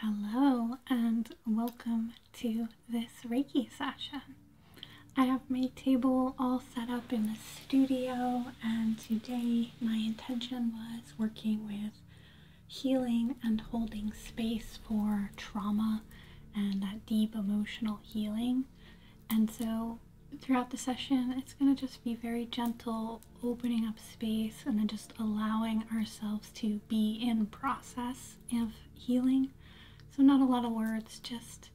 Hello and welcome to this Reiki session. I have my table all set up in the studio and today my intention was working with healing and holding space for trauma and that deep emotional healing. And so throughout the session, it's going to just be very gentle opening up space and then just allowing ourselves to be in process of healing. So not a lot of words, just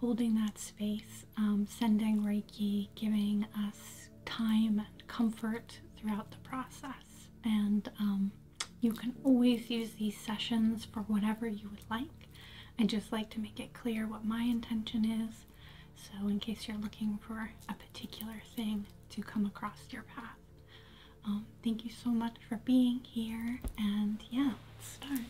holding that space, um, sending Reiki, giving us time and comfort throughout the process. And um, you can always use these sessions for whatever you would like. I just like to make it clear what my intention is. So, in case you're looking for a particular thing to come across your path, um, thank you so much for being here, and yeah, let's start.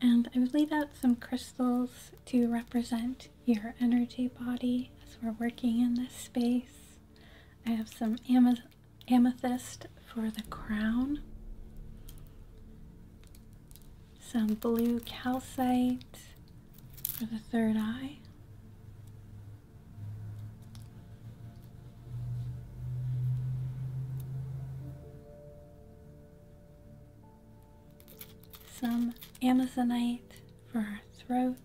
And I've laid out some crystals to represent your energy body as we're working in this space. I have some amethyst for the crown, some blue calcite, for the third eye. Some Amazonite for our throat.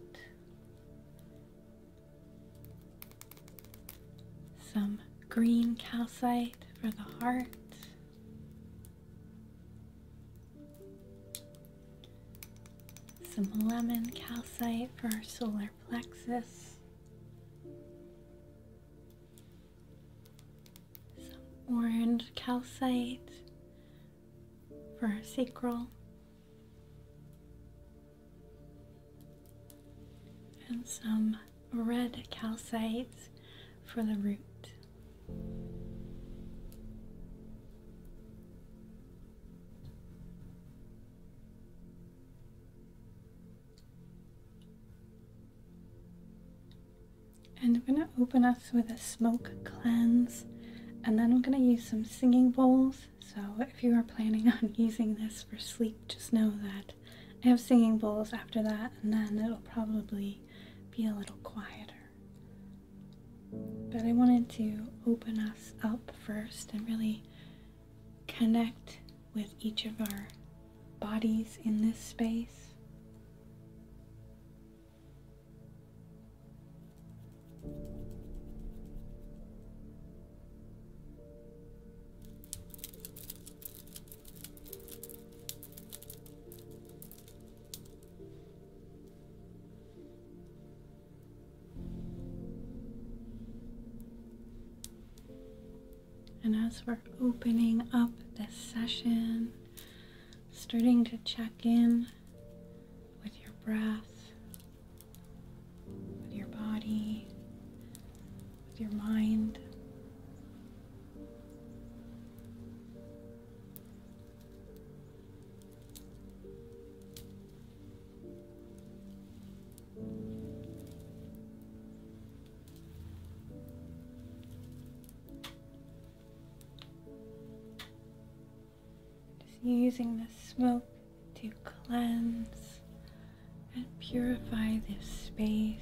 Some green calcite for the heart. Some lemon calcite for our solar plexus. Some orange calcite for our sacral. And some red calcite for the root. And I'm going to open us with a smoke cleanse, and then I'm going to use some singing bowls. So, if you are planning on using this for sleep, just know that I have singing bowls after that, and then it'll probably be a little quieter. But I wanted to open us up first and really connect with each of our bodies in this space. And as we're opening up this session, starting to check in with your breath, with your body, with your mind. Just using the smoke to cleanse and purify this space,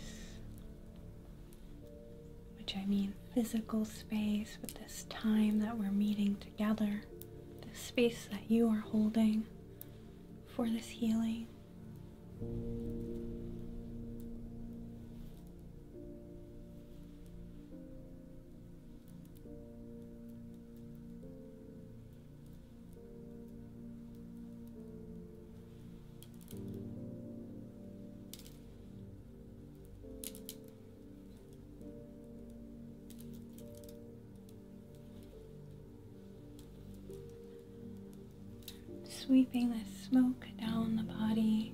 which I mean physical space, but this time that we're meeting Gather the space that you are holding for this healing. Sweeping the smoke down the body.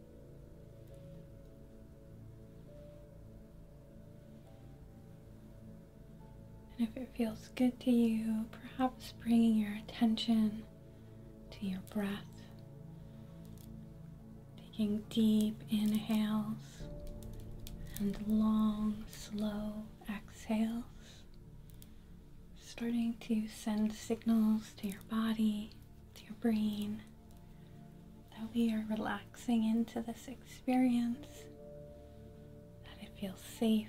And if it feels good to you, perhaps bringing your attention to your breath, taking deep inhales and long, slow exhales, starting to send signals to your body, to your brain that we are relaxing into this experience, that it feels safe.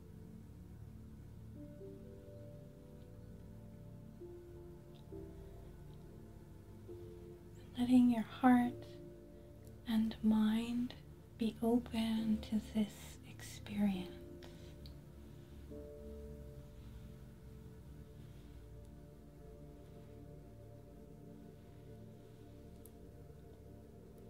Letting your heart and mind be open to this experience.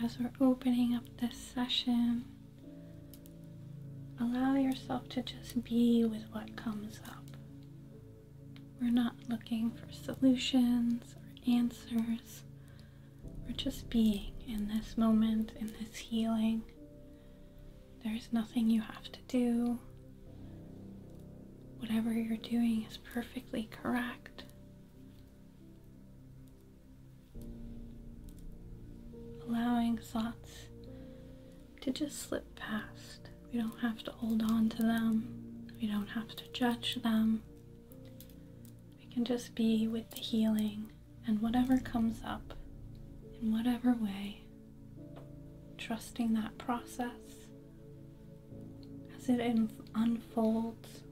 And as we're opening up this session, allow yourself to just be with what comes up. We're not looking for solutions or answers. We're just being in this moment, in this healing. There's nothing you have to do. Whatever you're doing is perfectly correct. Allowing thoughts to just slip past. We don't have to hold on to them. We don't have to judge them. We can just be with the healing and whatever comes up in whatever way, trusting that process as it unfolds.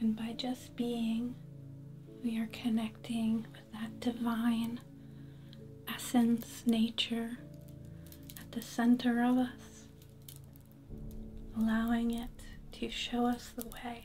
And by just being, we are connecting with that divine essence, nature at the center of us, allowing it to show us the way.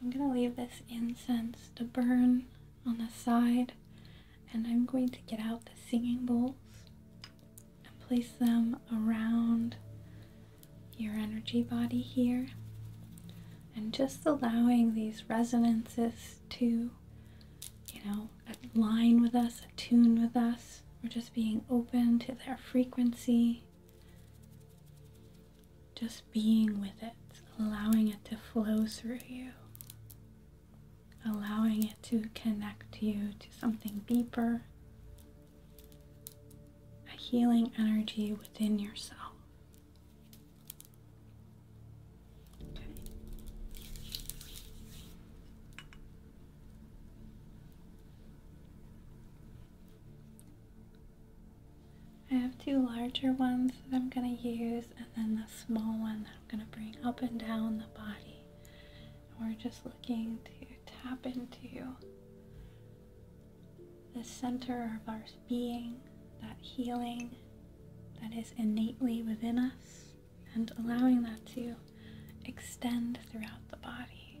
I'm going to leave this incense to burn on the side, and I'm going to get out the singing bowls and place them around your energy body here, and just allowing these resonances to, you know, align with us, attune with us. or just being open to their frequency just being with it, allowing it to flow through you, allowing it to connect you to something deeper, a healing energy within yourself. Okay. I have two larger ones that I'm going to use and then the small one that I'm going to bring up and down the body. we're just looking to tap into the center of our being, that healing that is innately within us, and allowing that to extend throughout the body.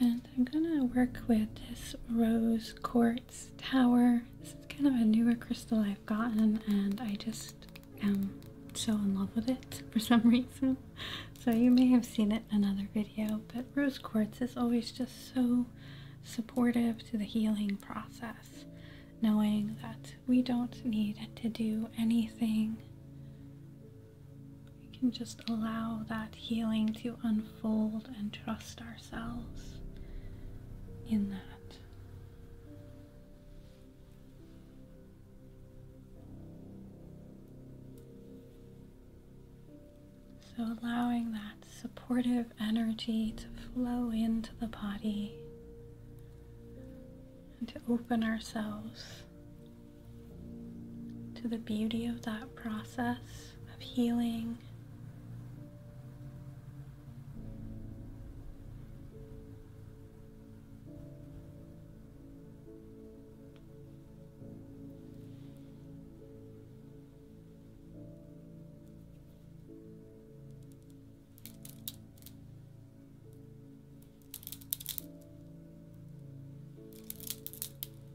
And I'm gonna work with this rose quartz tower. This is kind of a newer crystal I've gotten, and I just am so in love with it for some reason. So you may have seen it in another video, but rose quartz is always just so supportive to the healing process, knowing that we don't need to do anything we can just allow that healing to unfold and trust ourselves in that. So, allowing that supportive energy to flow into the body and to open ourselves to the beauty of that process of healing.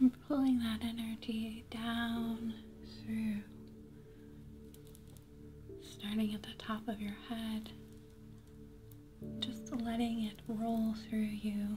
I'm pulling that energy down through, starting at the top of your head, just letting it roll through you.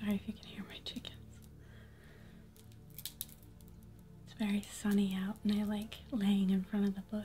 Sorry if you can hear my chickens. It's very sunny out, and I like laying in front of the bush.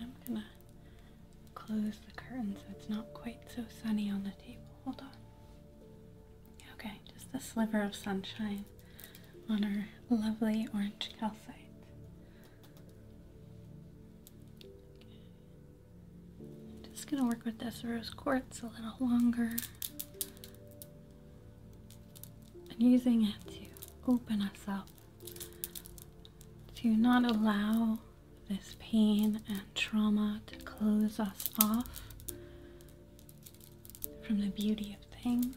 I'm gonna close the curtains. it's not quite so sunny on the table. Hold on. Okay, just a sliver of sunshine on our lovely orange calcite. Just gonna work with this rose quartz a little longer and using it to open us up to not allow this pain and trauma to close us off from the beauty of things.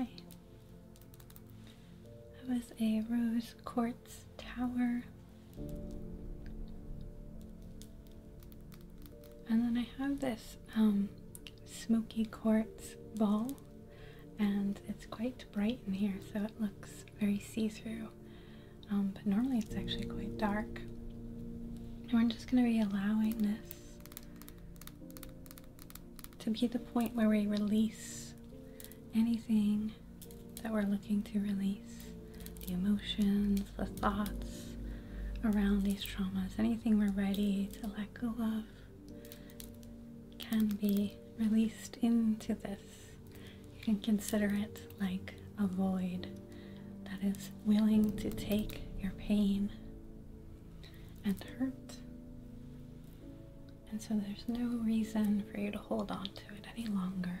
Okay. That was a rose quartz tower. And then I have this um, smoky quartz ball, and it's quite bright in here, so it looks very see through. Um, but normally it's actually quite dark. And we're just going to be allowing this to be the point where we release anything that we're looking to release the emotions, the thoughts around these traumas, anything we're ready to let go of, can be released into this. You can consider it like a void that is willing to take your pain and hurt. And so there's no reason for you to hold on to it any longer.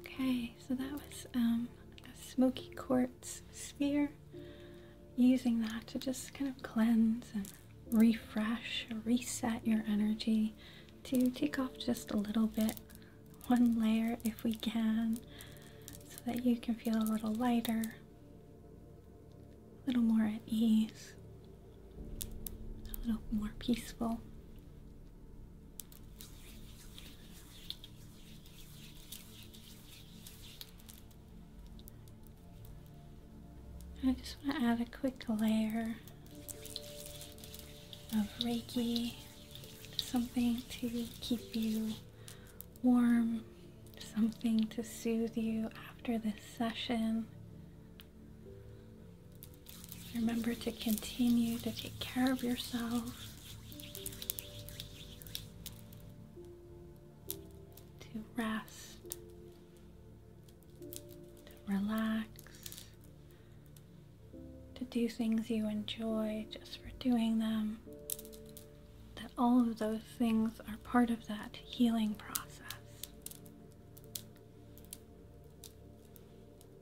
Okay, so that was um, a smoky quartz sphere. Using that to just kind of cleanse and refresh, reset your energy, to take off just a little bit, one layer if we can, so that you can feel a little lighter, a little more at ease, a little more peaceful. I just want to add a quick layer of Reiki, something to keep you warm, something to soothe you after this session. Remember to continue to take care of yourself to rest, to relax, to do things you enjoy just for doing them. That all of those things are part of that healing process.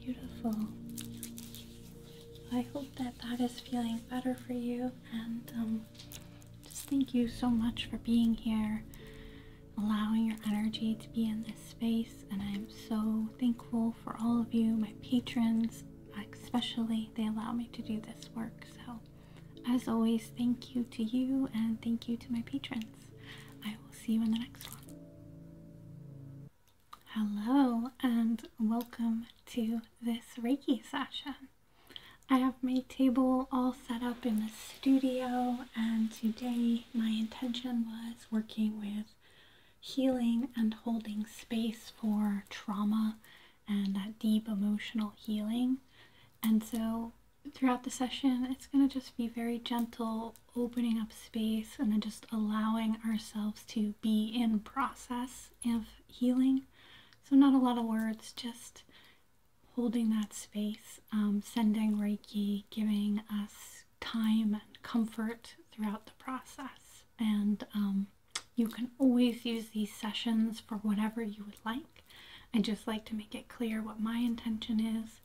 Beautiful. I hope that that is feeling better for you, and um, just thank you so much for being here, allowing your energy to be in this space. And I'm so thankful for all of you, my patrons, especially, they allow me to do this work. So, as always, thank you to you, and thank you to my patrons. I will see you in the next one. Hello and welcome to this Reiki session. I have my table all set up in the studio, and today my intention was working with healing and holding space for trauma and that deep emotional healing. And so throughout the session, it's going to just be very gentle, opening up space and then just allowing ourselves to be in process of healing. So not a lot of words, just holding that space, um, sending Reiki, giving us time and comfort throughout the process. And um, you can always use these sessions for whatever you would like. I just like to make it clear what my intention is.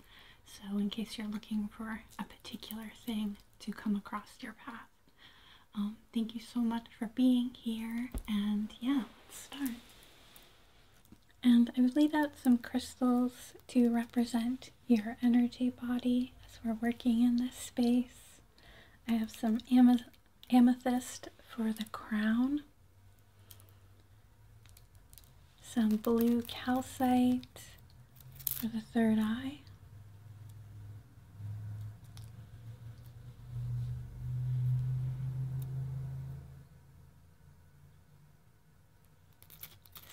So in case you're looking for a particular thing to come across your path. Um, thank you so much for being here, and yeah, let's start. And I've laid out some crystals to represent your energy body as we're working in this space. I have some amethyst for the crown, some blue calcite for the third eye.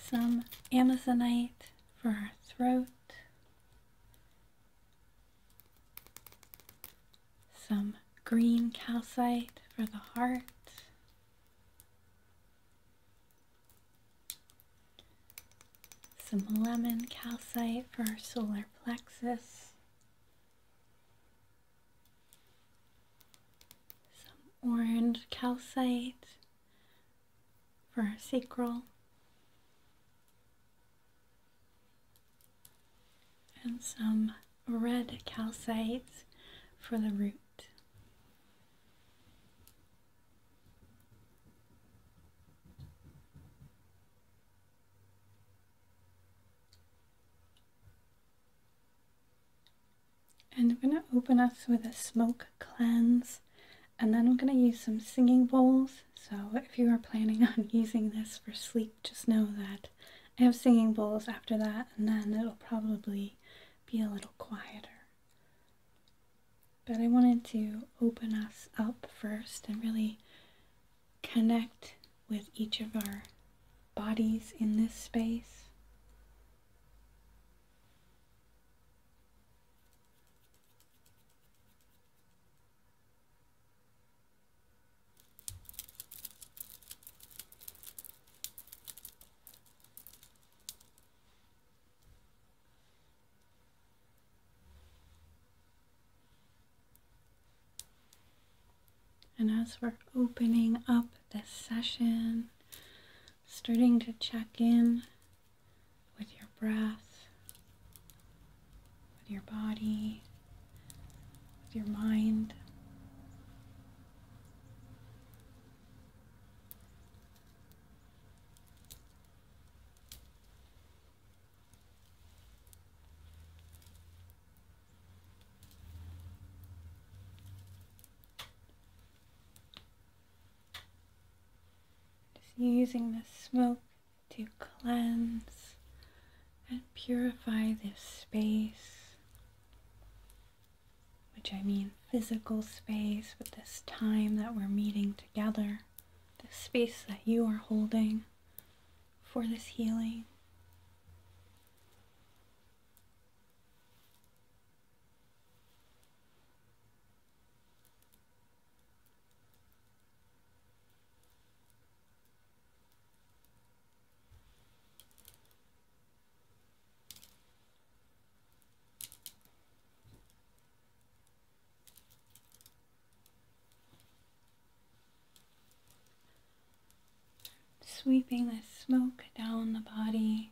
Some Amazonite for our throat. Some green calcite for the heart some lemon calcite for our solar plexus, some orange calcite for our sacral, and some red calcite for the root. And I'm going to open us with a smoke cleanse and then I'm going to use some singing bowls. So if you are planning on using this for sleep, just know that I have singing bowls after that and then it'll probably be a little quieter. But I wanted to open us up first and really connect with each of our bodies in this space. And as we're opening up this session, starting to check in with your breath, with your body, with your mind. Just using the smoke to cleanse and purify this space, which I mean physical space, but this time that we're meeting together the space that you are holding for this healing. Sweeping the smoke down the body.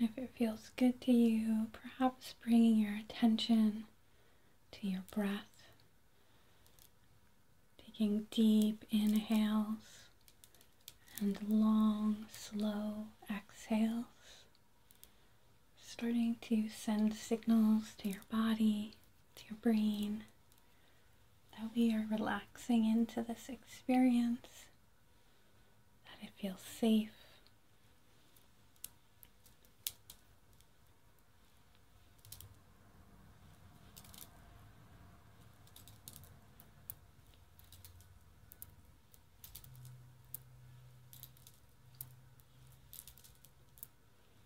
And if it feels good to you, perhaps bringing your attention to your breath, taking deep inhales and long, slow exhales, starting to send signals to your body to your brain that we are relaxing into this experience, that it feels safe.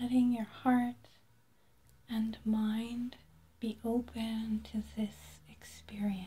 letting your heart and mind be open to this experience.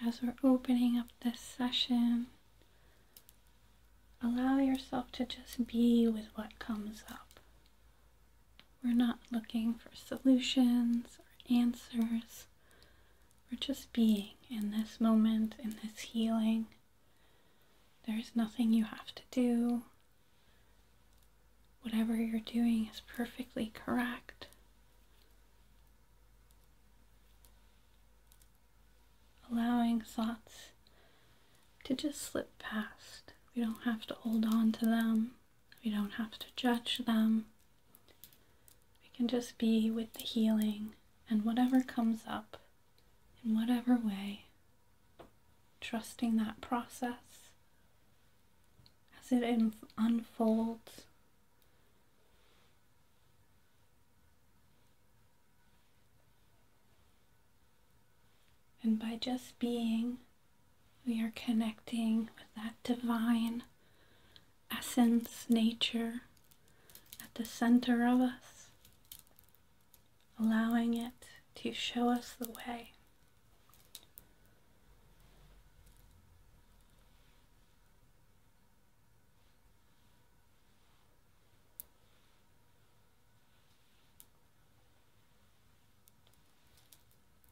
And as we're opening up this session, allow yourself to just be with what comes up. We're not looking for solutions or answers. We're just being in this moment, in this healing. There's nothing you have to do. Whatever you're doing is perfectly correct. Allowing thoughts to just slip past. We don't have to hold on to them. We don't have to judge them. We can just be with the healing and whatever comes up in whatever way, trusting that process as it unfolds. And by just being we are connecting with that divine essence, nature at the center of us, allowing it to show us the way.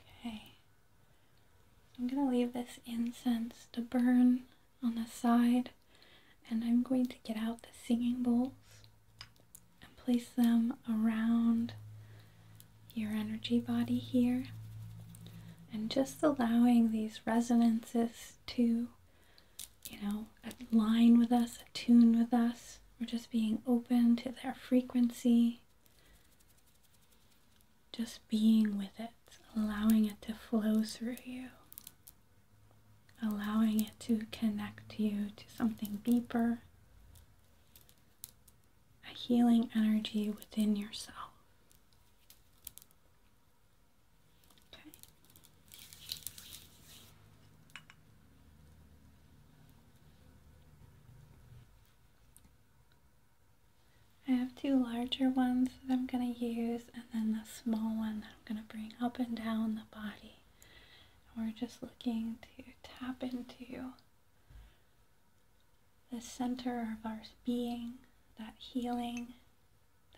Okay. I'm going to leave this incense to burn on the side, and I'm going to get out the singing bowls and place them around your energy body here, and just allowing these resonances to, you know, align with us, attune with us. We're just being open to their frequency just being with it, allowing it to flow through you, allowing it to connect you to something deeper, a healing energy within yourself. Okay. I have two larger ones that I'm going to use and then the small one that I'm going to bring up and down the body. And we're just looking to tap into the center of our being, that healing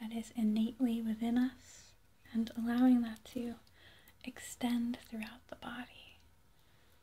that is innately within us, and allowing that to extend throughout the body.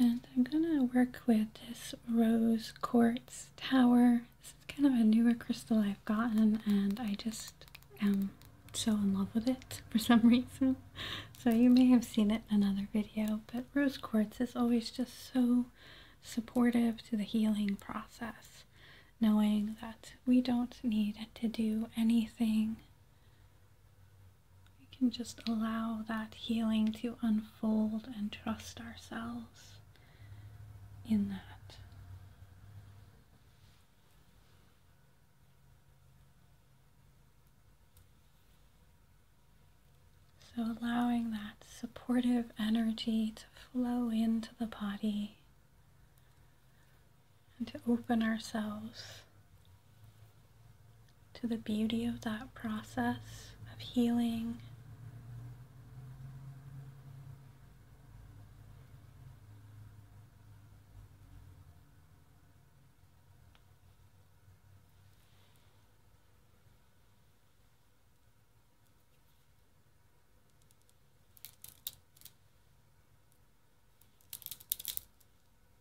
And I'm gonna work with this rose quartz tower. This is kind of a newer crystal I've gotten and I just am so in love with it for some reason. So you may have seen it in another video, but rose quartz is always just so supportive to the healing process. Knowing that we don't need to do anything we can just allow that healing to unfold and trust ourselves in that. So, allowing that supportive energy to flow into the body and to open ourselves to the beauty of that process of healing.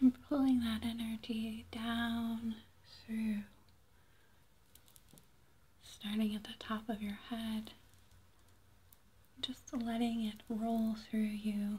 I'm pulling that energy down through, starting at the top of your head, just letting it roll through you.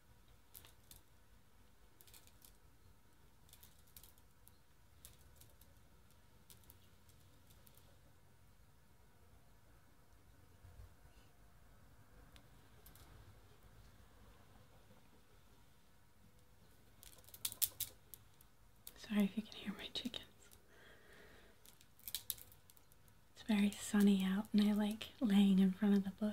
Sorry if you can hear my chickens. It's very sunny out and I like laying in front of the bush.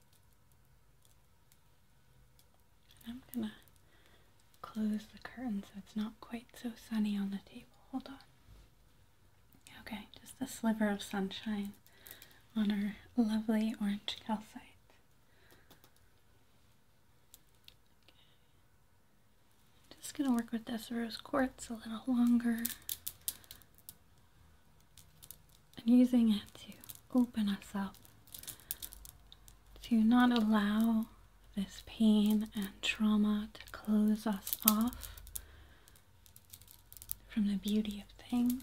I'm gonna close the curtains. so it's not quite so sunny on the table. Hold on. Okay, just a sliver of sunshine on our lovely orange calcite. Okay. Just gonna work with this rose quartz a little longer and using it to open us up, to not allow this pain and trauma to close us off from the beauty of things.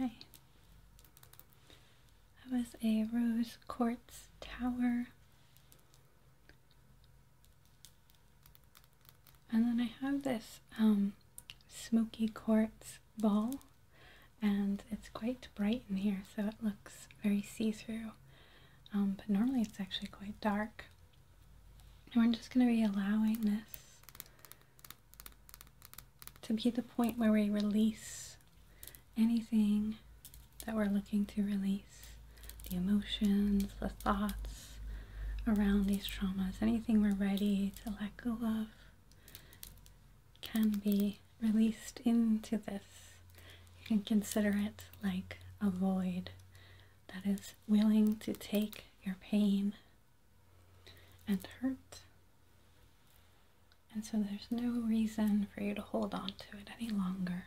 Okay. That was a rose quartz tower. And then I have this um, smoky quartz ball, and it's quite bright in here, so it looks very see-through. Um, but normally it's actually quite dark. And we're just going to be allowing this to be the point where we release anything that we're looking to release the emotions, the thoughts around these traumas, anything we're ready to let go of can be released into this. You can consider it like a void that is willing to take your pain and hurt. And so there's no reason for you to hold on to it any longer.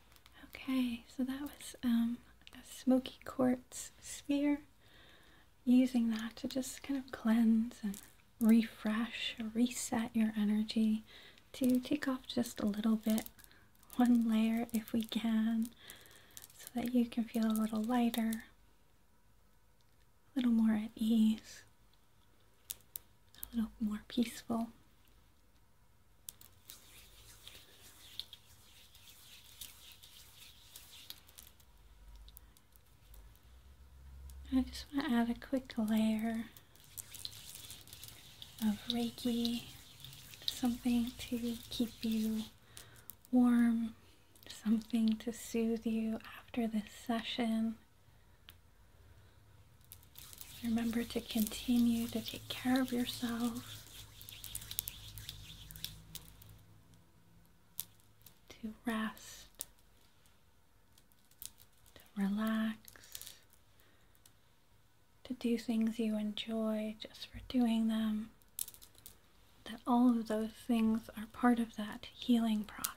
Okay, so that was a um, smoky quartz sphere. Using that to just kind of cleanse and refresh, reset your energy to take off just a little bit, one layer if we can, so that you can feel a little lighter, a little more at ease, a little more peaceful. I just want to add a quick layer of Reiki, something to keep you warm, something to soothe you after this session. Remember to continue to take care of yourself to rest, to relax, to do things you enjoy just for doing them. That all of those things are part of that healing process.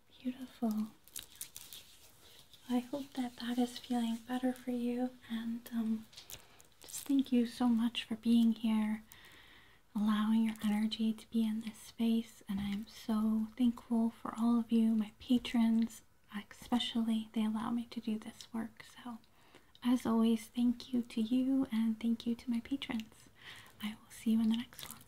Beautiful. I hope that that is feeling better for you, and um, just thank you so much for being here, allowing your energy to be in this space. And I'm so thankful for all of you, my patrons, especially. They allow me to do this work. So, as always, thank you to you, and thank you to my patrons. I will see you in the next one.